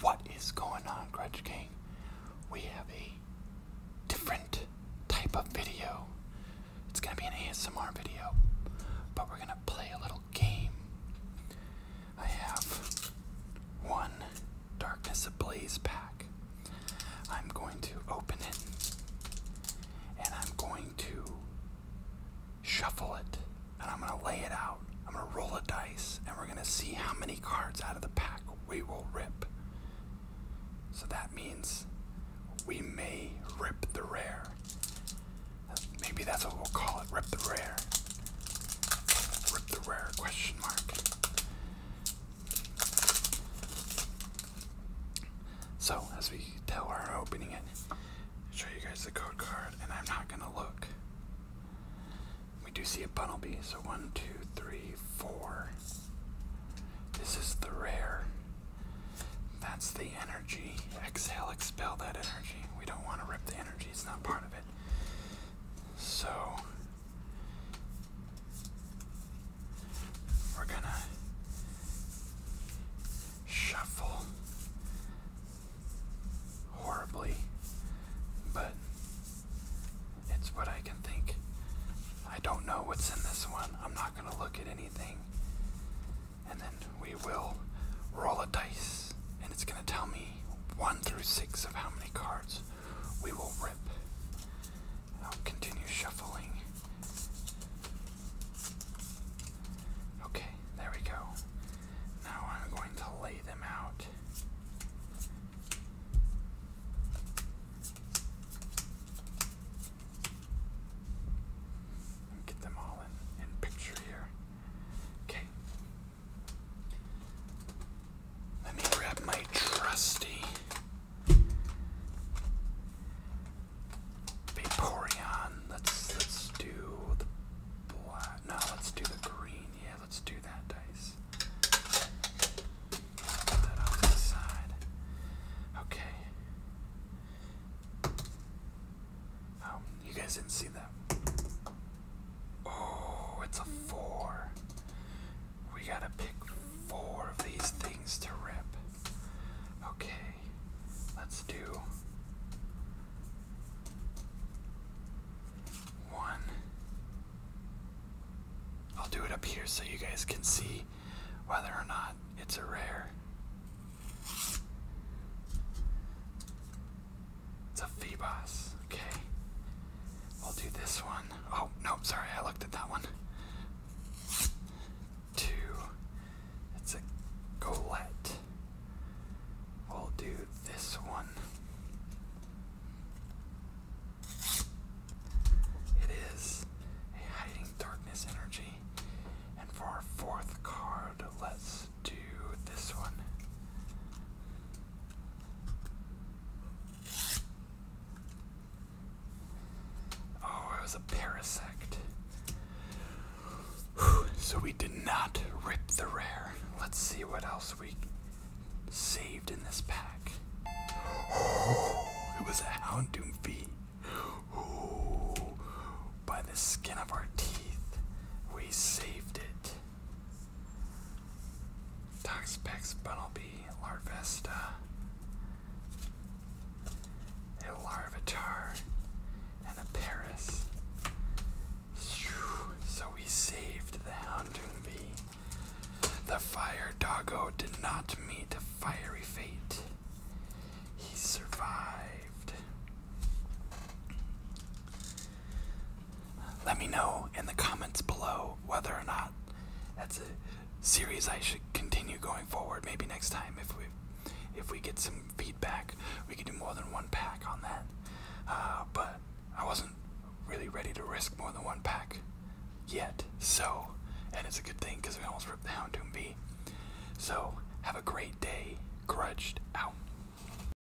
What is going on, Grudge King? We have a different type of video. It's gonna be an ASMR video, but we're gonna play a little game. I have one Darkness Ablaze pack. I'm going to open it and I'm going to shuffle it, and I'm going to lay it out. I'm going to roll a dice, and we're going to see how many cards out of the pack we will rip. So that means we may rip the rare. Maybe that's what we'll call it, rip the rare. Rip the rare, question mark. So, as we tell, we're opening it, show you guys the code card and I'm not gonna look. We do see a bundle bee. so one, two, three, four. This is the rare. That's the energy. Exhale, expel that energy. We don't want to rip the energy, it's not part of it. So, we're gonna shuffle horribly, but it's what I can think. I don't know what's in this one. I'm not going to look at anything. And then we will roll a dice, and it's going to tell me 1 through 6 of how many cards we will rip. I'll continue shuffling. Okay, there we go. Now I'm going to lay them out. get them all in picture here. Okay. Let me grab my trusty Vaporeon. Let's let's do the black. No, let's do the green. Yeah, let's do that dice. Put that off the side. Okay. Oh, you guys didn't see that. Oh, it's a four. We gotta pick four of these things to rip. Okay, let's do one. I'll do it up here so you guys can see whether or not it's a rare. It's a Phoebos. Okay. I'll do this one. Oh, nope, sorry, I looked at that one two. It's a Golette. We'll do this one. It is a Hiding Darkness energy. And for our fourth card, let's do this one. Oh, it was a parasect. so we did not rip the rare. Let's see what else we saved in this pack. it was a Houndoom V. by the skin of our teeth, we saved it. Toxpex, Bunnelby, Larvesta, a Larvitar, and a Paris. So we saved the Houndoomby. The fire doggo did not meet a fiery fate. He survived. Let me know in the comments below whether or not that's a series I should continue going forward. Maybe next time if we if we get some feedback, we could do more than one pack on that. Uh, but I wasn't really ready to risk more than one pack yet. So, and it's a good thing because we almost ripped the Houndoom V. So, have a great day. Grudged out.